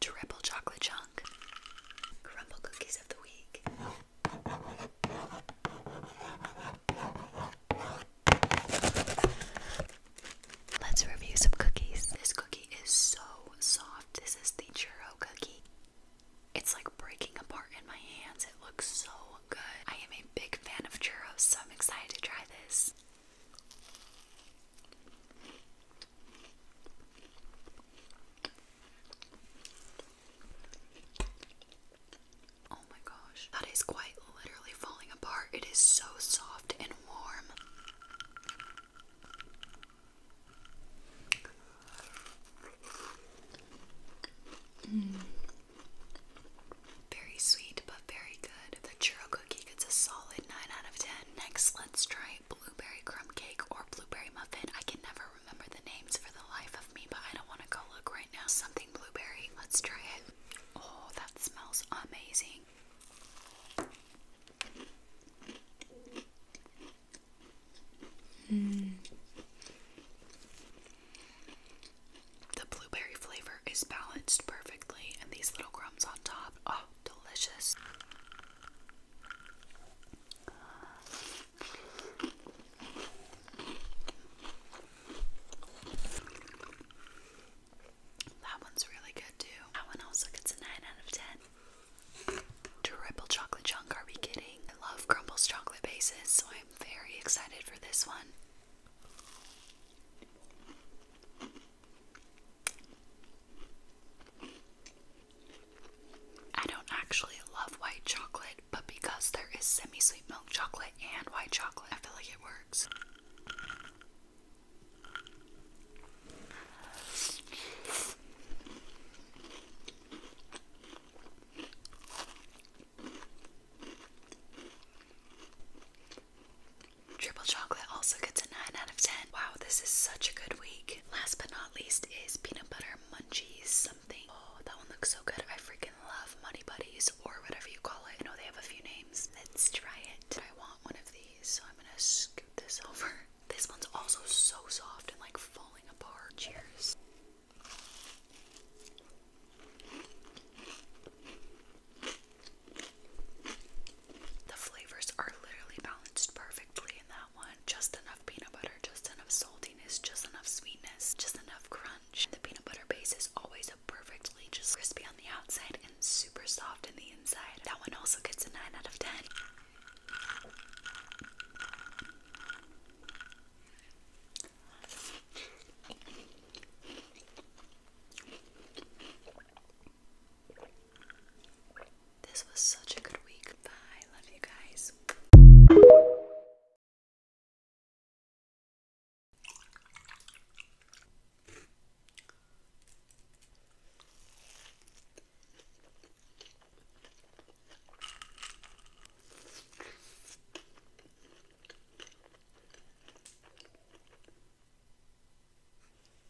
Triple chocolate chunk. Crumble cookies of the week. Let's review some cookies. This cookie is so soft. This is the churro cookie. It's like breaking apart in my hands. It looks so good. I am a big fan of churros, so I'm excited to try this. Oh my gosh, that is quite literally falling apart. It is so soft and warm. Mm. Very sweet, but very good. The churro cookie gets a solid 9 out of 10. Next, let's try Blueberry Crumb Cake or Blueberry Muffin. I can never remember the names for the life of me, but I don't want to go look right now. Something blueberry. Let's try it. Oh, that smells amazing. Hmm. The blueberry flavor is balanced perfectly, and these little crumbs on top. Oh, delicious. That one's really good too. That one also gets a 9 out of 10. Triple chocolate chunk, are we kidding? I love Crumble's chocolate bases, so I'm very excited for this one. I don't actually love white chocolate, but because there is semi sweet milk chocolate and white chocolate, I feel like it works. Triple chocolate also gets a 9 out of 10. Wow, this is such a good week. Last but not least is peanut butter munchies something. Oh, that one looks so good. I freaking love Muddy Buddies or whatever you call it. I know they have a few names. Let's try it. I want one of these, so I'm gonna scoot this over. This one's also so soft and like falling apart. Cheers. The flavors are literally balanced perfectly in that one. Just enough peanut butter, just enough saltiness, just enough sweetness, just enough crunch. The peanut butter base is always a perfectly just crispy on the outside and super soft in the inside. That one also gets a 9 out of 10. This was such a good week. Bye. Love you guys.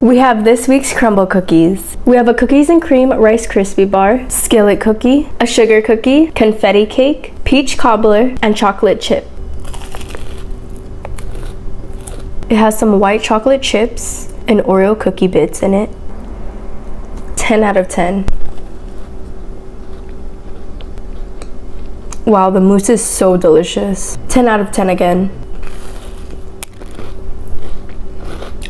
We have this week's crumble cookies. We have a cookies and cream Rice Krispie bar, skillet cookie, a sugar cookie, confetti cake, peach cobbler, and chocolate chip it. has some white chocolate chips and Oreo cookie bits in it. 10 out of 10. Wow, the mousse is so delicious. 10 out of 10 again.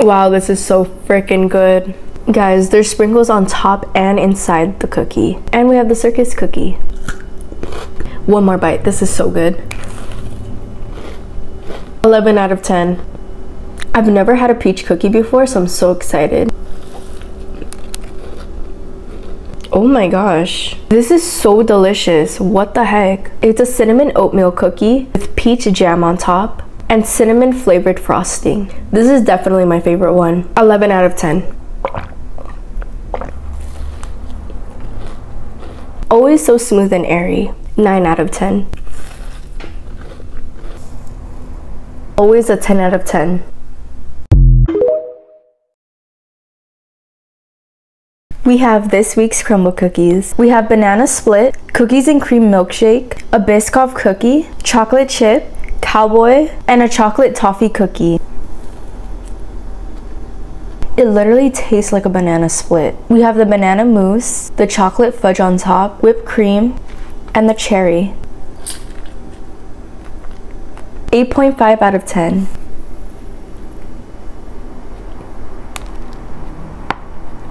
Wow, this is so freaking good. Guys, there's sprinkles on top and inside the cookie. And we have the circus cookie. One more bite. This is so good. 11 out of 10. I've never had a peach cookie before, so I'm so excited. Oh my gosh. This is so delicious. What the heck? It's a cinnamon oatmeal cookie with peach jam on top and cinnamon flavored frosting. This is definitely my favorite one. 11 out of 10. Always so smooth and airy, 9 out of 10. Always a 10 out of 10. We have this week's crumble cookies. We have banana split, cookies and cream milkshake, a Biscoff cookie, chocolate chip, cowboy, and a chocolate toffee cookie. It literally tastes like a banana split. We have the banana mousse, the chocolate fudge on top, whipped cream, and the cherry. 8.5 out of 10.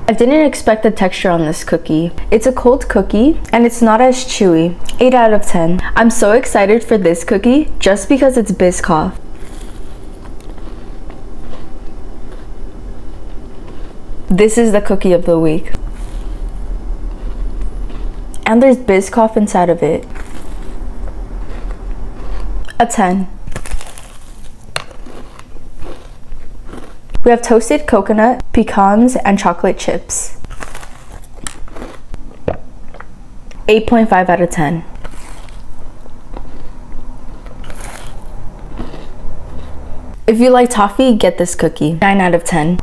I didn't expect the texture on this cookie. It's a cold cookie and it's it's not as chewy. 8 out of 10. I'm so excited for this cookie just because it's Biscoff. This is the cookie of the week. And there's Biscoff inside of it. A 10. We have toasted coconut, pecans, and chocolate chips. 8.5 out of 10. If you like toffee, get this cookie. 9 out of 10.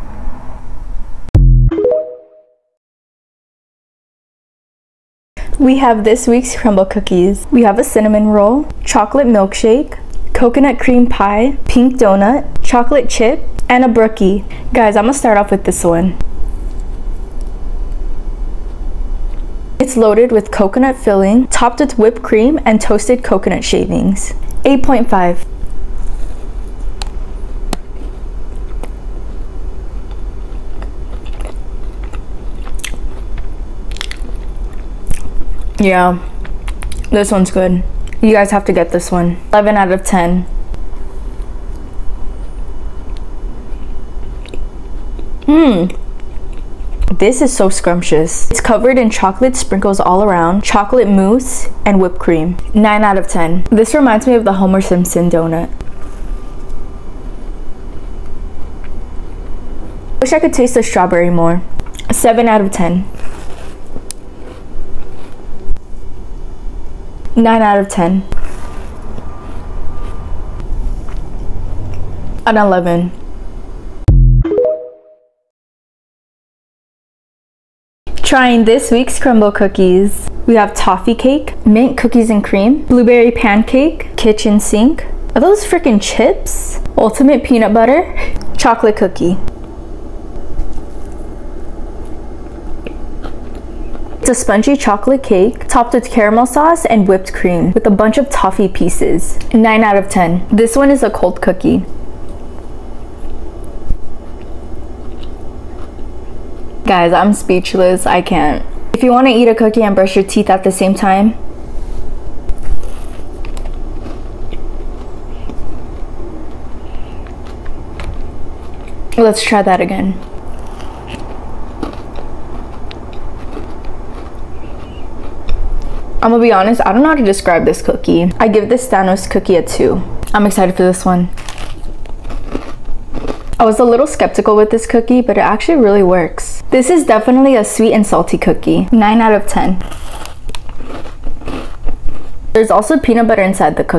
We have this week's crumble cookies. We have a cinnamon roll, chocolate milkshake, coconut cream pie, pink donut, chocolate chip, and a brookie. Guys, I'm gonna start off with this one. It's loaded with coconut filling, topped with whipped cream and toasted coconut shavings. 8.5. Yeah, this one's good. You guys have to get this one. 11 out of 10. Mmm. This is so scrumptious. It's covered in chocolate sprinkles all around, chocolate mousse, and whipped cream. 9 out of 10. This reminds me of the Homer Simpson donut. Wish I could taste the strawberry more. 7 out of 10. 9 out of 10. An 11. Trying this week's crumble cookies. We have toffee cake, mint cookies and cream, blueberry pancake, kitchen sink. Are those freaking chips? Ultimate peanut butter, chocolate cookie. It's a spongy chocolate cake topped with caramel sauce and whipped cream with a bunch of toffee pieces. 9 out of 10. This one is a cold cookie. Guys, I'm speechless. I can't. If you want to eat a cookie and brush your teeth at the same time, Let's try that again. I'm gonna be honest, I don't know how to describe this cookie. I give this Thanos cookie a two. I'm excited for this one. I was a little skeptical with this cookie, but it actually really works. This is definitely a sweet and salty cookie. 9 out of 10. There's also peanut butter inside the cookie.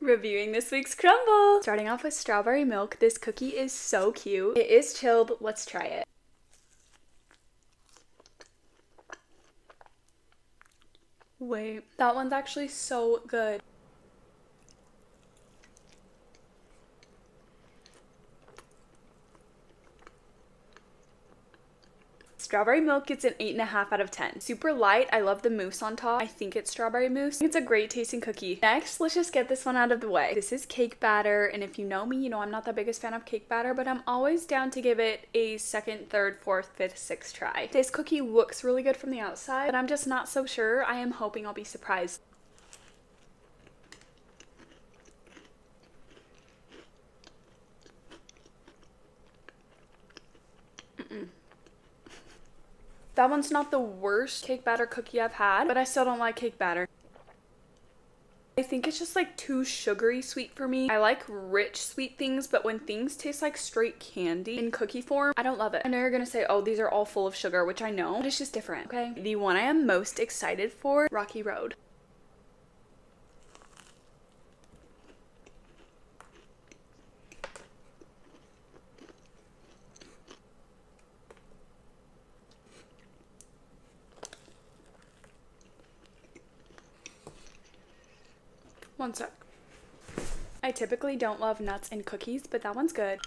Reviewing this week's crumble. Starting off with strawberry milk. This cookie is so cute. It is chilled. Let's try it. Wait, that one's actually so good. Strawberry milk gets an 8.5 out of 10. Super light. I love the mousse on top. I think it's strawberry mousse. It's a great tasting cookie. Next, let's just get this one out of the way. This is cake batter, and if you know me, you know I'm not the biggest fan of cake batter, but I'm always down to give it a second, third, fourth, fifth, sixth try. This cookie looks really good from the outside, but I'm just not so sure. I am hoping I'll be surprised. That one's not the worst cake batter cookie I've had, but I still don't like cake batter. I think it's just like too sugary sweet for me. I like rich sweet things, but when things taste like straight candy in cookie form, I don't love it. I know you're gonna say, oh, these are all full of sugar, which I know, but it's just different, okay? The one I am most excited for, Rocky Road. One sec. I typically don't love nuts and cookies, but that one's good.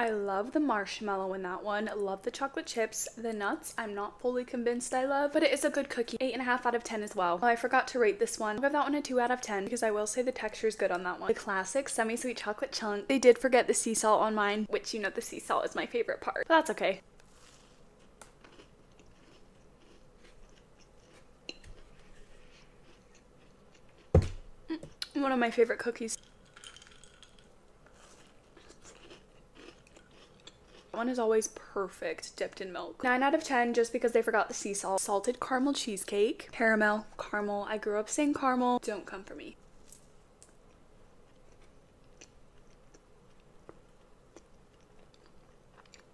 I love the marshmallow in that one. Love the chocolate chips. The nuts, I'm not fully convinced I love, but it is a good cookie. 8.5 out of 10 as well. Oh, I forgot to rate this one. I'll give that one a 2 out of 10 because I will say the texture is good on that one. The classic semi-sweet chocolate chunk. They did forget the sea salt on mine, which you know the sea salt is my favorite part, but that's okay. One of my favorite cookies. One is always perfect dipped in milk. 9 out of 10 just because they forgot the sea salt. Salted caramel cheesecake. Caramel. Caramel. I grew up saying caramel. Don't come for me.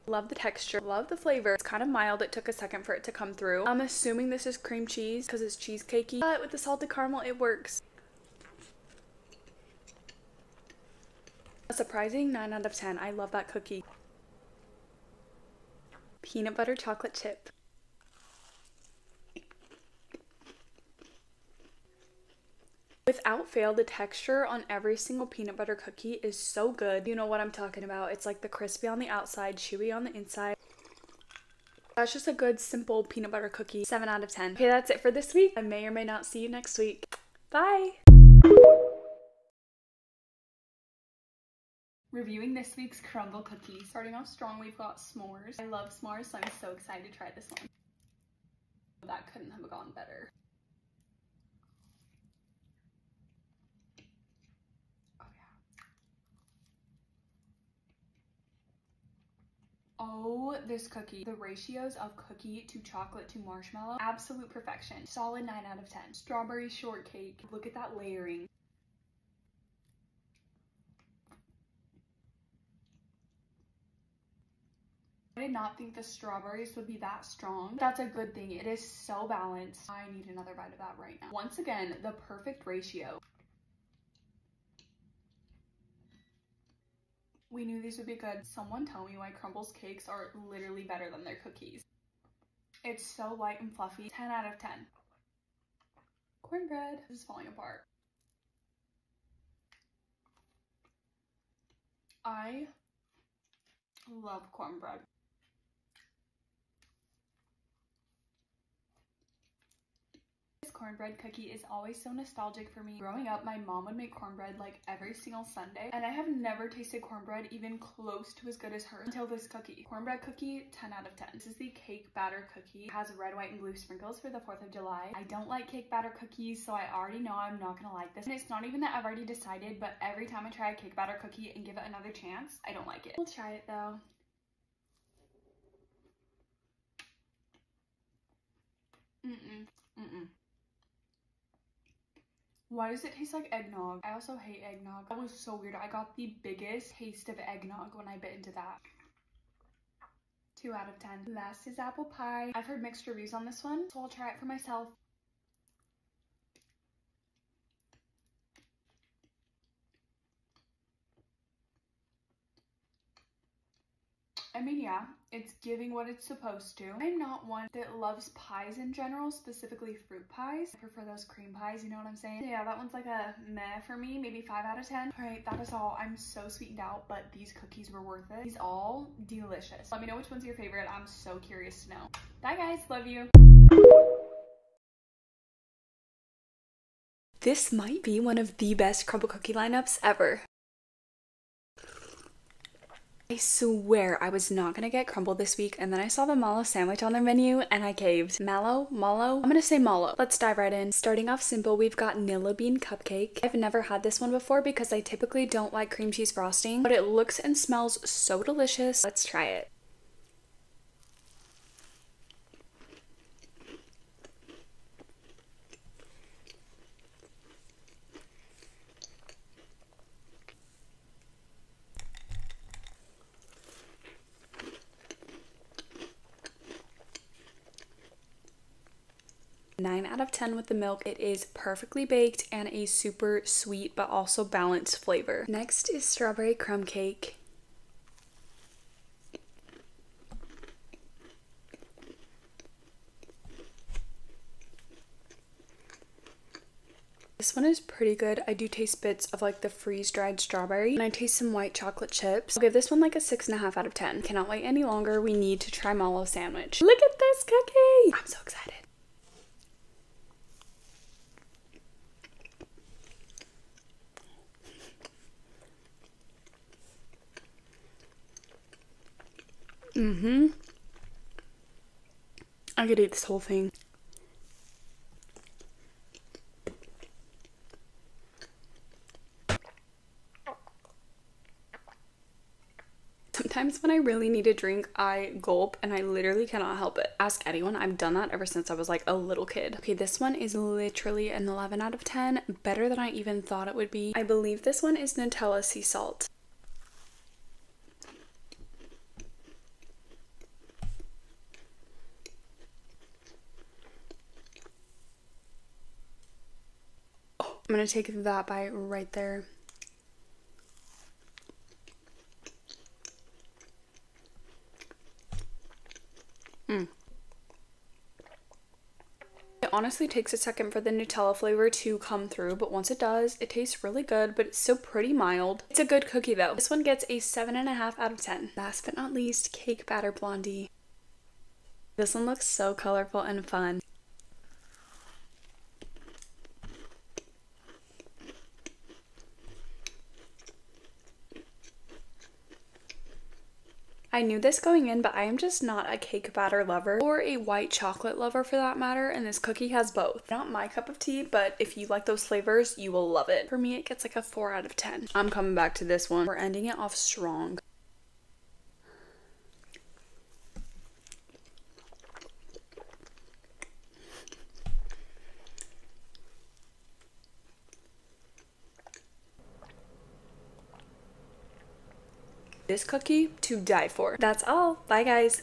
Love the texture, love the flavor. It's kind of mild. It took us second for it to come through. I'm assuming this is cream cheese because it's cheesecakey, but with the salted caramel, it works. A surprising 9 out of 10. I love that cookie. Peanut butter chocolate chip. Without fail, the texture on every single peanut butter cookie is so good. You know what I'm talking about. It's like the crispy on the outside, chewy on the inside. That's just a good, simple peanut butter cookie. 7 out of 10. Okay, that's it for this week. I may or may not see you next week. Bye! Reviewing this week's crumble cookies. Starting off strong, we've got s'mores. I love s'mores, I'm so excited to try this one. That couldn't have gone better. Oh yeah. Oh, this cookie. The ratios of cookie to chocolate to marshmallow, absolute perfection. Solid 9 out of 10. Strawberry shortcake. Look at that layering. I did not think the strawberries would be that strong. That's a good thing. It is so balanced. I need another bite of that right now. Once again, the perfect ratio. We knew these would be good. Someone tell me why Crumble's cakes are literally better than their cookies. It's so light and fluffy. 10 out of 10. Cornbread is falling apart. I love cornbread. This cornbread cookie is always so nostalgic for me. Growing up, my mom would make cornbread like every single Sunday, and I have never tasted cornbread even close to as good as hers until this cookie. Cornbread cookie, 10 out of 10. This is the cake batter cookie. It has red, white, and blue sprinkles for the 4th of July. I don't like cake batter cookies, so I already know I'm not gonna like this. And it's not even that I've already decided, but every time I try a cake batter cookie and give it another chance, I don't like it. We'll try it though. Mm-mm. Mm-mm. Why does it taste like eggnog? I also hate eggnog. That was so weird. I got the biggest taste of eggnog when I bit into that. 2 out of 10. Last is apple pie. I've heard mixed reviews on this one, so I'll try it for myself. I mean, yeah, it's giving what it's supposed to. I'm not one that loves pies in general, specifically fruit pies. I prefer those cream pies, you know what I'm saying? yeah, that one's like a meh for me, maybe 5 out of 10. All right, that is all. I'm so sweetened out, but these cookies were worth it. These all delicious. Let me know which one's your favorite. I'm so curious to know. Bye guys, love you. This might be one of the best crumble cookie lineups ever. I swear I was not gonna get crumble this week, and then I saw the mallow sandwich on their menu and I caved. Mallow? Mallow? I'm gonna say mallow. Let's dive right in. Starting off simple, we've got vanilla Bean Cupcake. I've never had this one before because I typically don't like cream cheese frosting, but it looks and smells so delicious. Let's try it. 9 out of 10 with the milk. It is perfectly baked and a super sweet but also balanced flavor. Next is strawberry crumb cake. This one is pretty good. I do taste bits of like the freeze-dried strawberry and I taste some white chocolate chips. I'll give this one like a six and a half out of 10. Cannot wait any longer. We need to try Malo sandwich. Look at this cookie. I'm so excited hmm I could eat this whole thing. Sometimes when I really need a drink, I gulp and I literally cannot help it. Ask anyone. I've done that ever since I was like a little kid. Okay, this one is literally an 11 out of 10, better than I even thought it would be. I believe this one is Nutella sea salt. Oh, I'm gonna take that bite right there. Mm. It honestly takes a second for the Nutella flavor to come through, but once it does, it tastes really good, but it's so pretty mild. It's a good cookie though. This one gets a 7.5 out of 10. Last but not least, Cake Batter Blondie. This one looks so colorful and fun. I knew this going in, but I am just not a cake batter lover or a white chocolate lover for that matter, and this cookie has both. Not my cup of tea, but if you like those flavors, you will love it. For me, it gets like a 4 out of 10. I'm coming back to this one. We're ending it off strong. This cookie to die for. That's all. Bye guys.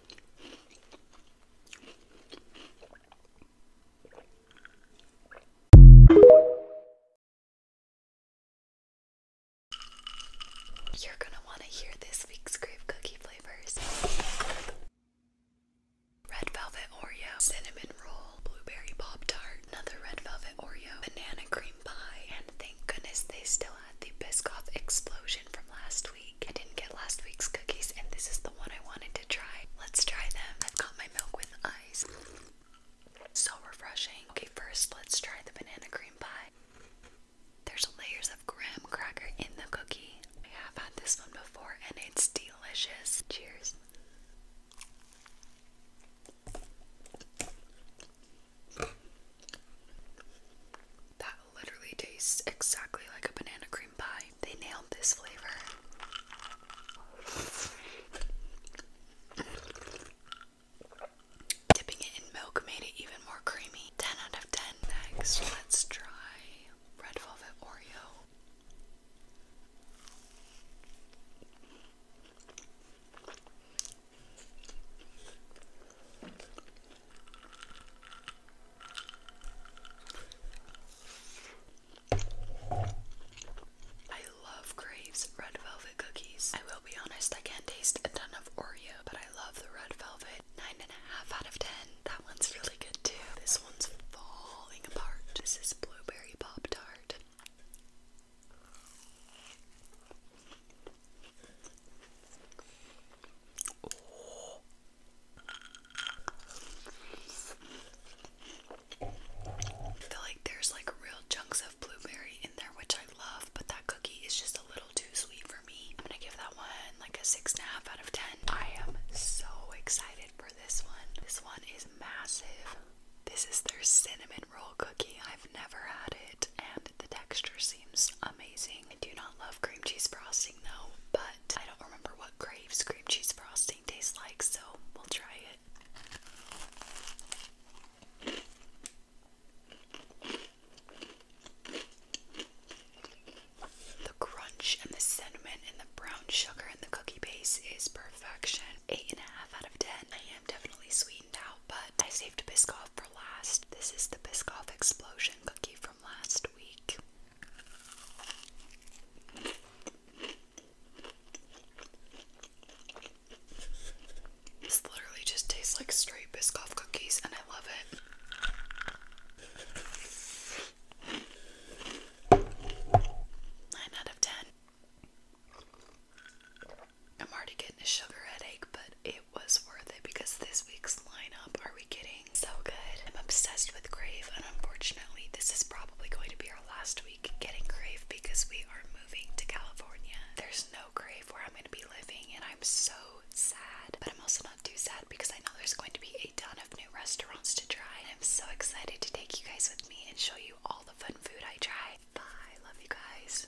You're going to want to hear this week's grape cookie flavors. Red velvet Oreo, cinnamon roll, blueberry pop tart, another red velvet Oreo, banana cream pie, and thank goodness they still had the Biscoff explosion from last week. I didn't get last week's cookies, and this is the one I wanted to try. Let's try them. I've got my milk with ice. So refreshing. Okay, first, let's try the banana cream pie. There's layers of graham cracker in the cookie. I have had this one before, and it's delicious. Cheers literally tastes exactly like a banana cream pie. They nailed this flavor. Dipping it in milk made it even more creamy. 10 out of 10. Next, let's try red velvet Oreo. I love Graves red velvet cookies. I will be honest, I can't taste a ton of Oreo, but I love the red velvet. Nine and a half out of ten. That one's really good too. This one's falling apart. This is blueberry pop tart. I feel like there's like real chunks of blueberry in there, which I love, but that cookie is just a little too sweet for me. I'm gonna give that one like a six and a half out of ten. I am so excited for this one. This one is massive. This is their cinnamon roll cookie. I've never had it, and the texture seems amazing. I do not love cream cheese frosting though, but I don't remember what Graves cream cheese frosting tastes like, so we'll try it. The crunch and the cinnamon and the brown sugar and the cookie base is perfection. Eight and a half out of ten. I am definitely sweetened out, but I saved Biscoff for last. This is the Biscoff Explosion cookie from last week. This literally just tastes like straight Biscoff cookies, and I love it. Nine out of ten. I'm already getting a sugar headache, but it was worth it because this week's lineup, are we kidding? So good. I'm obsessed with grave, and unfortunately, this is probably going to be our last week getting grave because we are moving to California. There's no grave where I'm going to be living, and I'm so sad. But I'm also not too sad because I know there's going to be a ton of new restaurants to try. And I'm so excited to take you guys with me and show you all the fun food I try. Bye. Love you guys.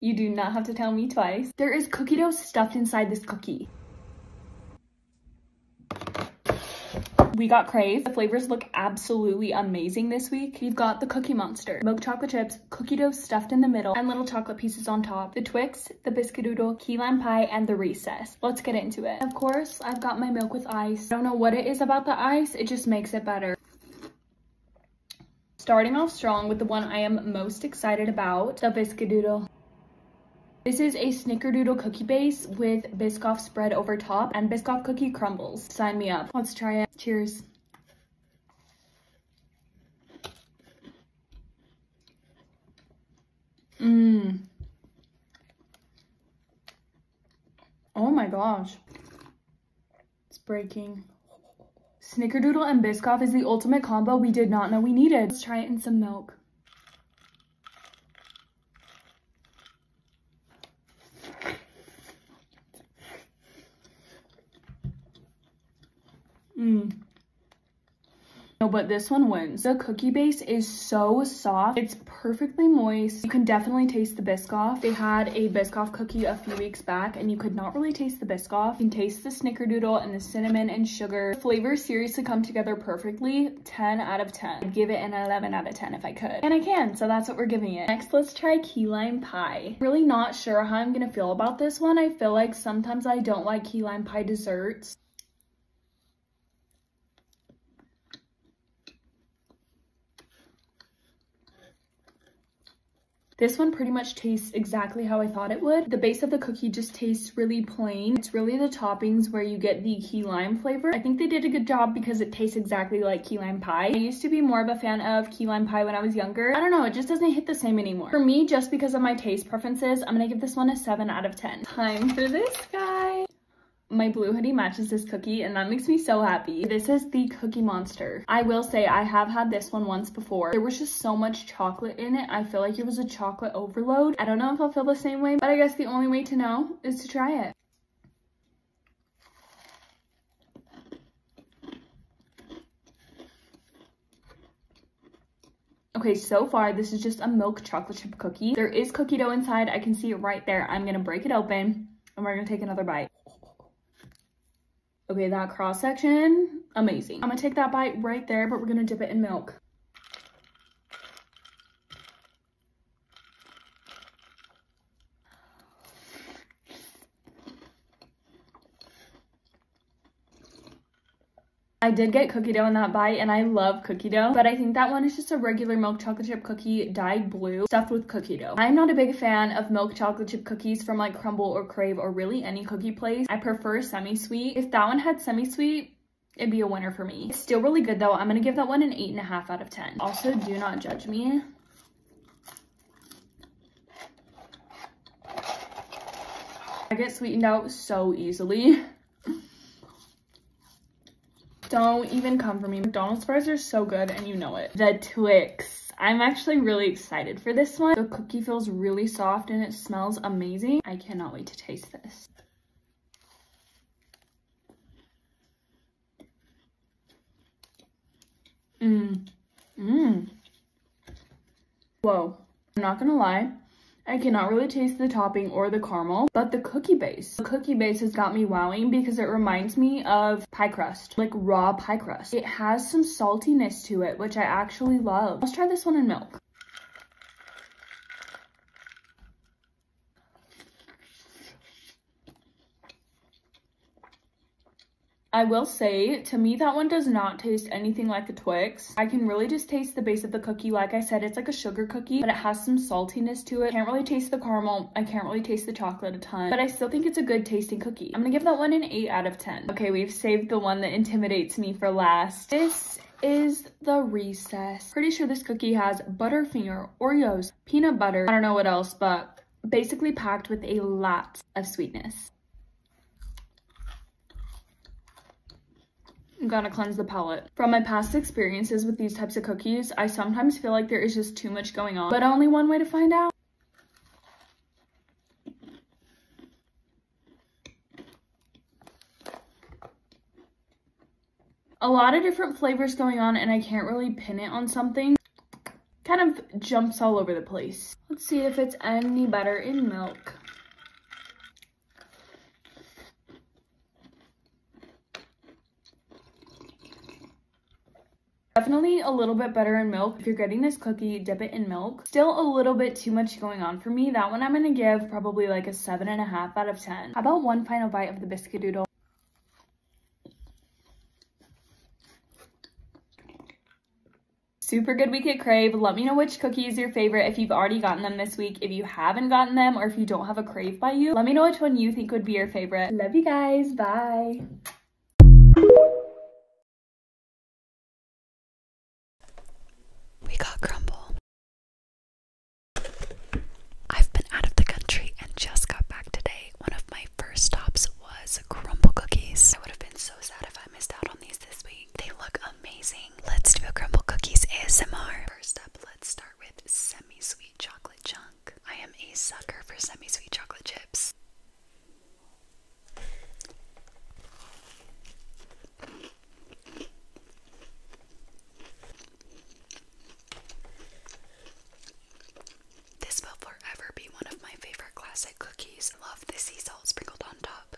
You do not have to tell me twice. There is cookie dough stuffed inside this cookie. We got Crave. The flavors look absolutely amazing this week. We've got the Cookie Monster, milk chocolate chips, cookie dough stuffed in the middle, and little chocolate pieces on top, the Twix, the Biscuitoodle, key lime pie, and the Recess. Let's get into it. Of course, I've got my milk with ice. I don't know what it is about the ice, it just makes it better. Starting off strong with the one I am most excited about, the Biscuitoodle. This is a snickerdoodle cookie base with Biscoff spread over top and Biscoff cookie crumbles. Sign me up. Let's try it. Cheers. Mmm. Oh my gosh. It's breaking. Snickerdoodle and Biscoff is the ultimate combo we did not know we needed. Let's try it in some milk. Mmm. No, but this one wins. The cookie base is so soft. It's perfectly moist. You can definitely taste the Biscoff. They had a Biscoff cookie a few weeks back and you could not really taste the Biscoff off. You can taste the snickerdoodle and the cinnamon and sugar. The flavors seriously come together perfectly. 10 out of 10. I'd give it an 11 out of 10 if I could. And I can, so that's what we're giving it. Next, let's try key lime pie. Really not sure how I'm gonna feel about this one. I feel like sometimes I don't like key lime pie desserts. This one pretty much tastes exactly how I thought it would. The base of the cookie just tastes really plain. It's really the toppings where you get the key lime flavor. I think they did a good job because it tastes exactly like key lime pie. I used to be more of a fan of key lime pie when I was younger. I don't know, it just doesn't hit the same anymore. For me, just because of my taste preferences, I'm gonna give this one a 7 out of 10. Time for this guy. My blue hoodie matches this cookie and that makes me so happy. This is the Cookie Monster. I will say I have had this one once before. There was just so much chocolate in it. I feel like it was a chocolate overload. I don't know if I'll feel the same way, but I guess the only way to know is to try it. Okay, so far, this is just a milk chocolate chip cookie. There is cookie dough inside. I can see it right there. I'm gonna break it open and we're gonna take another bite. Okay, that cross section, amazing. I'm gonna take that bite right there, but we're gonna dip it in milk. I did get cookie dough in that bite and I love cookie dough, but I think that one is just a regular milk chocolate chip cookie dyed blue stuffed with cookie dough. I'm not a big fan of milk chocolate chip cookies from like Crumble or Crave or really any cookie place. I prefer semi-sweet. If that one had semi-sweet, it'd be a winner for me. still really good though. I'm gonna give that one an eight and a half out of 10. Also, do not judge me. I get sweetened out so easily. Don't even come for me. McDonald's fries are so good and you know it. The Twix. I'm actually really excited for this one. The cookie feels really soft and it smells amazing. I cannot wait to taste this. Mmm. Mmm. Whoa. I'm not gonna lie. I cannot really taste the topping or the caramel, but the cookie base. The cookie base has got me wowing because it reminds me of pie crust like raw pie crust. It has some saltiness to it, which I actually love. Let's try this one in milk. I will say, to me, that one does not taste anything like a Twix. I can really just taste the base of the cookie. Like I said, it's like a sugar cookie, but it has some saltiness to it. Can't really taste the caramel. I can't really taste the chocolate a ton, but I still think it's a good tasting cookie. I'm gonna give that one an 8 out of Okay, we've saved the one that intimidates me for last. This is the recess. Pretty sure this cookie has Butterfinger, Oreos, peanut butter, I don't know what else, but basically packed with a lot of sweetness. I'm gonna cleanse the palate. From my past experiences with these types of cookies, I sometimes feel like there is just too much going on, but only one way to find out a lot of different flavors going on and I can't really pin it on something. Kind of jumps all over the place. Let's see if it's any better in milk. Definitely a little bit better in milk. If you're getting this cookie, dip it in milk. Still a little bit too much going on for me. That one I'm gonna give probably like a seven and a half out of 10. about one final bite of the biscuit doodle? super good week at Crave. Let me know which cookie is your favorite if you've already gotten them this week. If you haven't gotten them or if you don't have a Crave by you, let me know which one you think would be your favorite. Love you guys. Bye. We got crumble. I've been out of the country and just got back today. One of my first stops was crumble cookies. I would have been so sad if I missed out on these this week. They look amazing. Let's do a crumble cookies ASMR. First up, let's start with semi sweet chocolate chunk. I am a sucker for semi sweet chocolate chips. This will forever be one of my favorite classic cookies. love the sea salt sprinkled on top.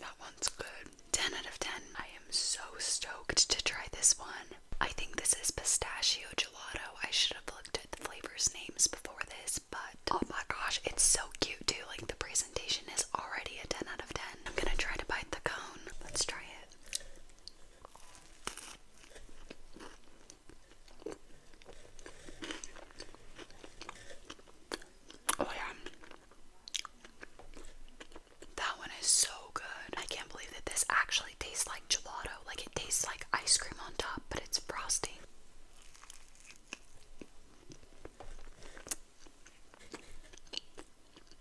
That one's good. 10 out of 10. I am so stoked to try this one. I think this is pistachio gelato. I should have looked at the flavors' names before this, but oh my gosh, it's so cute too. Like the presentation is already a 10 out of 10. I'm gonna try to bite the cone. Let's try it. Oh yeah. That one is so good. I can't believe that this actually tastes like gelato. Like it tastes like ice cream on top, but it's frosting.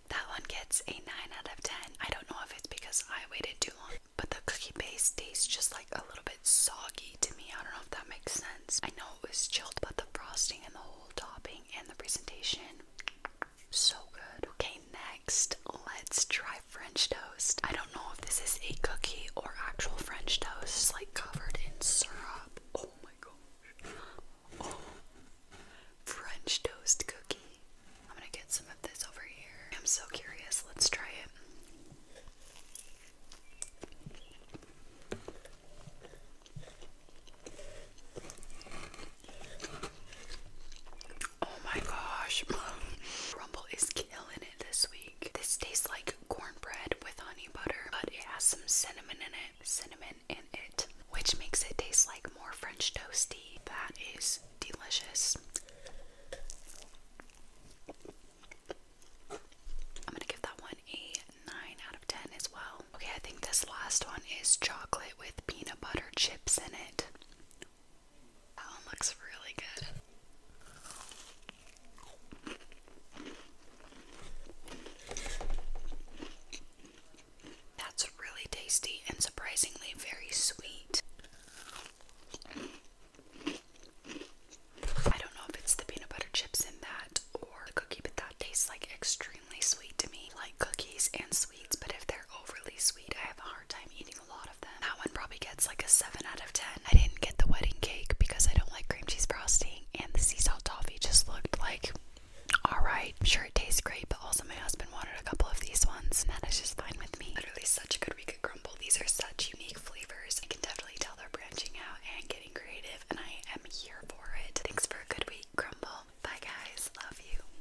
That one gets a 9 out of 10. I don't know if it's because I waited too long, but the cookie base tastes just like a little bit soggy to me. I don't know if that makes sense. I know it was chilled, but the frosting and the whole topping and the presentation so good. Okay, next, let's try French toast. I don't know if this is a cookie or actual French toast, like covered in syrup. Oh my gosh. Oh. French toast cookie. I'm gonna get some of this over here. I'm so curious. Let's try it. Oh my gosh. Rumble is killing it this week. This tastes like cornbread with honey butter, but it has some cinnamon in it. Cinnamon in it. Which makes it taste like more French toasty. That is delicious. I'm gonna give that one a 9 out of 10 as well. Okay, I think this last one is chocolate with peanut butter chips in it. That one looks really good. That's really tasty and surprisingly very sweet. I don't know if it's the peanut butter chips in that or the cookie, but that tastes like extremely sweet to me. Like cookies and sweets, but if they're overly sweet. I have a hard time eating a lot of them. That one probably gets like a 7 out of 10. I didn't get the wedding cake because I don't like cream cheese frosting, and the sea salt toffee just looked like alright. Sure, it tastes great, but also my husband wanted a couple of these ones, and that is just fine with me. Literally, such a good week at Grumble. These are such unique flavors. I can definitely tell they're branching out and getting creative, and I am here for it. Thanks for a good week, Grumble. Bye, guys. Love you.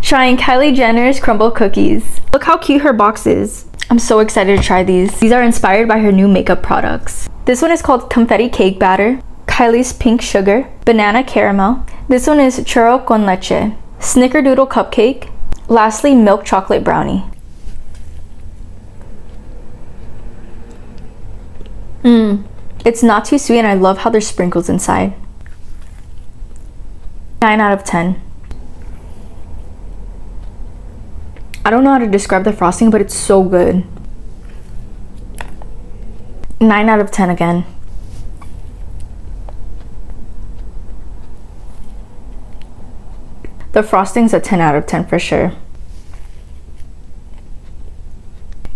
Trying Kylie Jenner's crumble cookies. Look how cute her box is. I'm so excited to try these. These are inspired by her new makeup products. This one is called confetti cake batter, Kylie's pink sugar, banana caramel. This one is churro con leche snickerdoodle cupcake, lastly milk chocolate brownie. Mmm, it's not too sweet and I love how there's sprinkles inside. 9 out of 10. I don't know how to describe the frosting, but it's so good. 9 out of 10 again. The frosting's a 10 out of 10 for sure.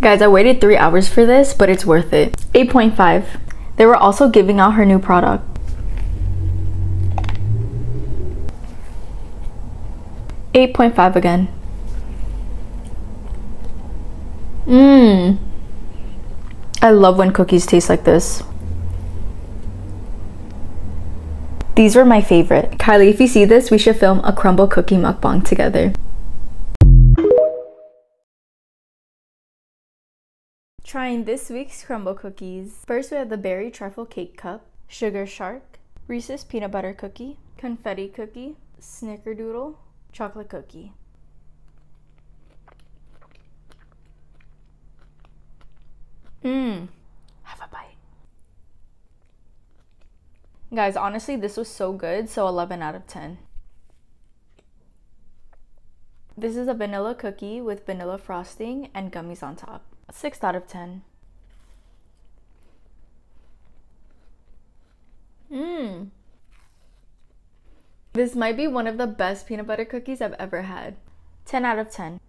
Guys, I waited 3 hours for this, but it's worth it. 8.5. They were also giving out her new product. Eight point five again. Mmm. I love when cookies taste like this. These were my favorite. Kylie, if you see this, we should film a crumble cookie mukbang together. Trying this week's crumble cookies. First, we have the berry truffle cake cup, sugar shark, Reese's peanut butter cookie, confetti cookie, snickerdoodle, chocolate cookie. Mmm. Have a bite. Guys, honestly, this was so good. So 11 out of 10. This is a vanilla cookie with vanilla frosting and gummies on top. 6 out of 10. Mmm. This might be one of the best peanut butter cookies I've ever had. 10 out of 10.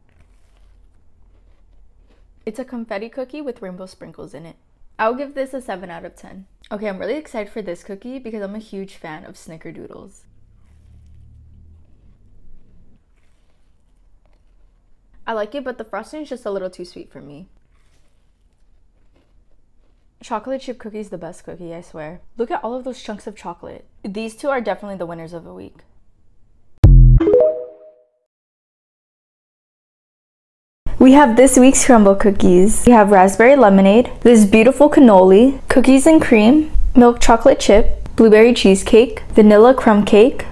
It's a confetti cookie with rainbow sprinkles in it. I'll give this a 7 out of 10. Okay, I'm really excited for this cookie because I'm a huge fan of snickerdoodles. I like it, but the frosting is just a little too sweet for me. Chocolate chip cookie is the best cookie, I swear. Look at all of those chunks of chocolate. These two are definitely the winners of the week. We have this week's crumble cookies. We have raspberry lemonade, this beautiful cannoli, cookies and cream, milk chocolate chip, blueberry cheesecake, vanilla crumb cake,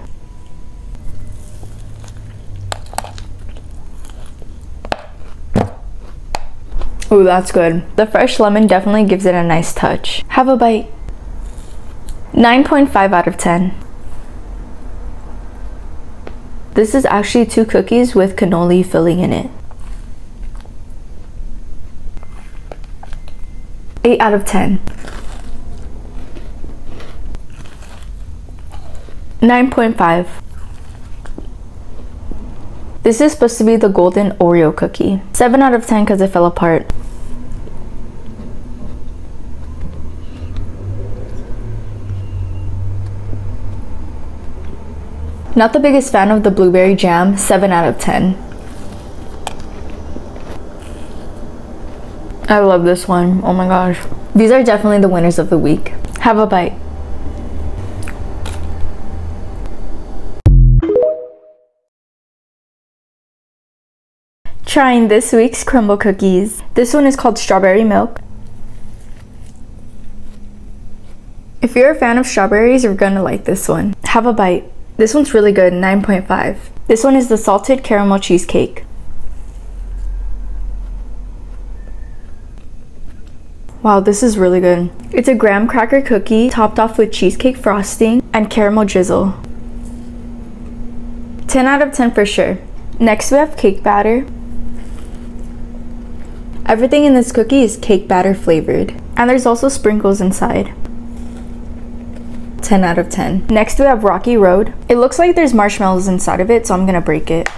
Ooh, that's good. The fresh lemon definitely gives it a nice touch. Have a bite. 9.5 out of 10. This is actually two cookies with cannoli filling in it. 8 out of 10. 9.5. This is supposed to be the golden Oreo cookie. 7 out of 10 because it fell apart. Not the biggest fan of the blueberry jam, 7 out of 10. I love this one, oh my gosh. These are definitely the winners of the week. Have a bite. Trying this week's crumble cookies. This one is called Strawberry Milk. If you're a fan of strawberries, you're gonna like this one. Have a bite. This one's really good, 9.5. This one is the salted caramel cheesecake. Wow, this is really good. It's a graham cracker cookie topped off with cheesecake frosting and caramel drizzle. 10 out of 10 for sure. Next we have cake batter. Everything in this cookie is cake batter flavored. And there's also sprinkles inside. 10 out of 10. Next we have Rocky Road. It looks like there's marshmallows inside of it, so I'm gonna break it.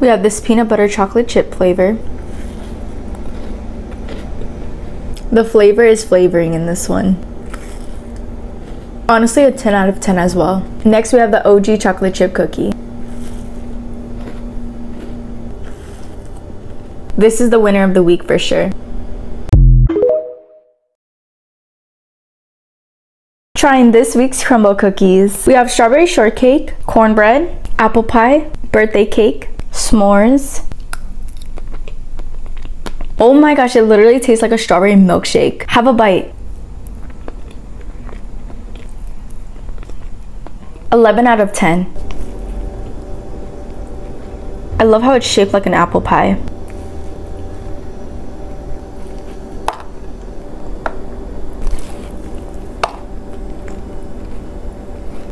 We have this peanut butter chocolate chip flavor. The flavor is flavoring in this one. Honestly, a 10 out of 10 as well. Next, we have the OG chocolate chip cookie. This is the winner of the week for sure. Trying this week's crumble cookies. We have strawberry shortcake, cornbread, apple pie, birthday cake, s'mores. Oh my gosh, it literally tastes like a strawberry milkshake. Have a bite. 11 out of 10. I love how it's shaped like an apple pie.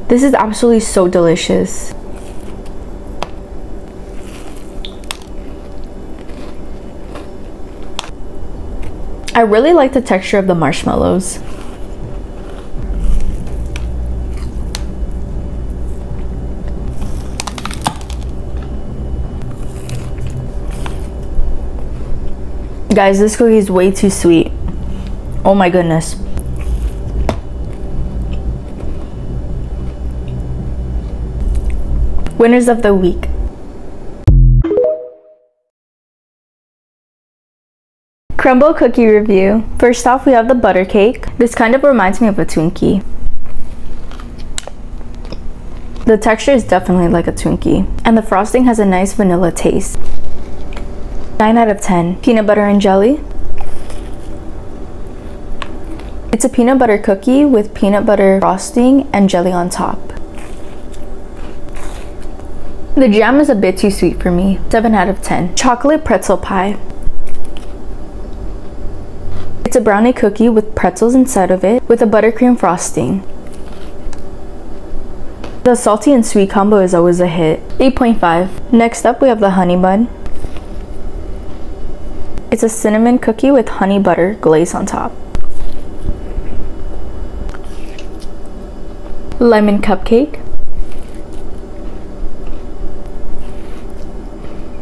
This is absolutely so delicious. I really like the texture of the marshmallows. Guys, this cookie is way too sweet. Oh my goodness. Winners of the week. Crumble cookie review. First off, we have the butter cake. This kind of reminds me of a Twinkie. The texture is definitely like a Twinkie, and the frosting has a nice vanilla taste. 9 out of 10. Peanut butter and jelly. It's a peanut butter cookie with peanut butter frosting and jelly on top. The jam is a bit too sweet for me. 7 out of 10. Chocolate pretzel pie. It's a brownie cookie with pretzel pretzels inside of it with a buttercream frosting. The salty and sweet combo is always a hit. 8.5. Next up we have the honey bun. It's a cinnamon cookie with honey butter glaze on top. Lemon cupcake.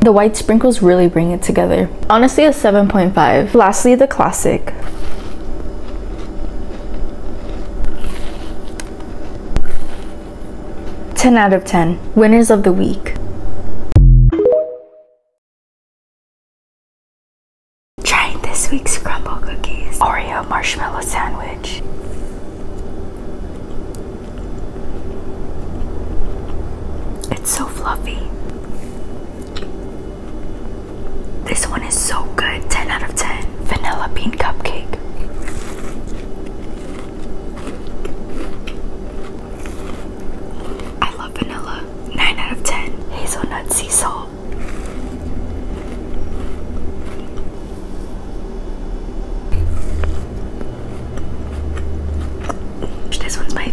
The white sprinkles really bring it together. Honestly, a 7.5. Lastly, the classic. Ten out of ten. Winners of the week. Trying this week's crumble cookies. Oreo marshmallow sandwich. It's so fluffy. This one is so good. 10 out of 10. Vanilla bean cupcake. I love vanilla. 9 out of 10. Hazelnut sea salt. This one's my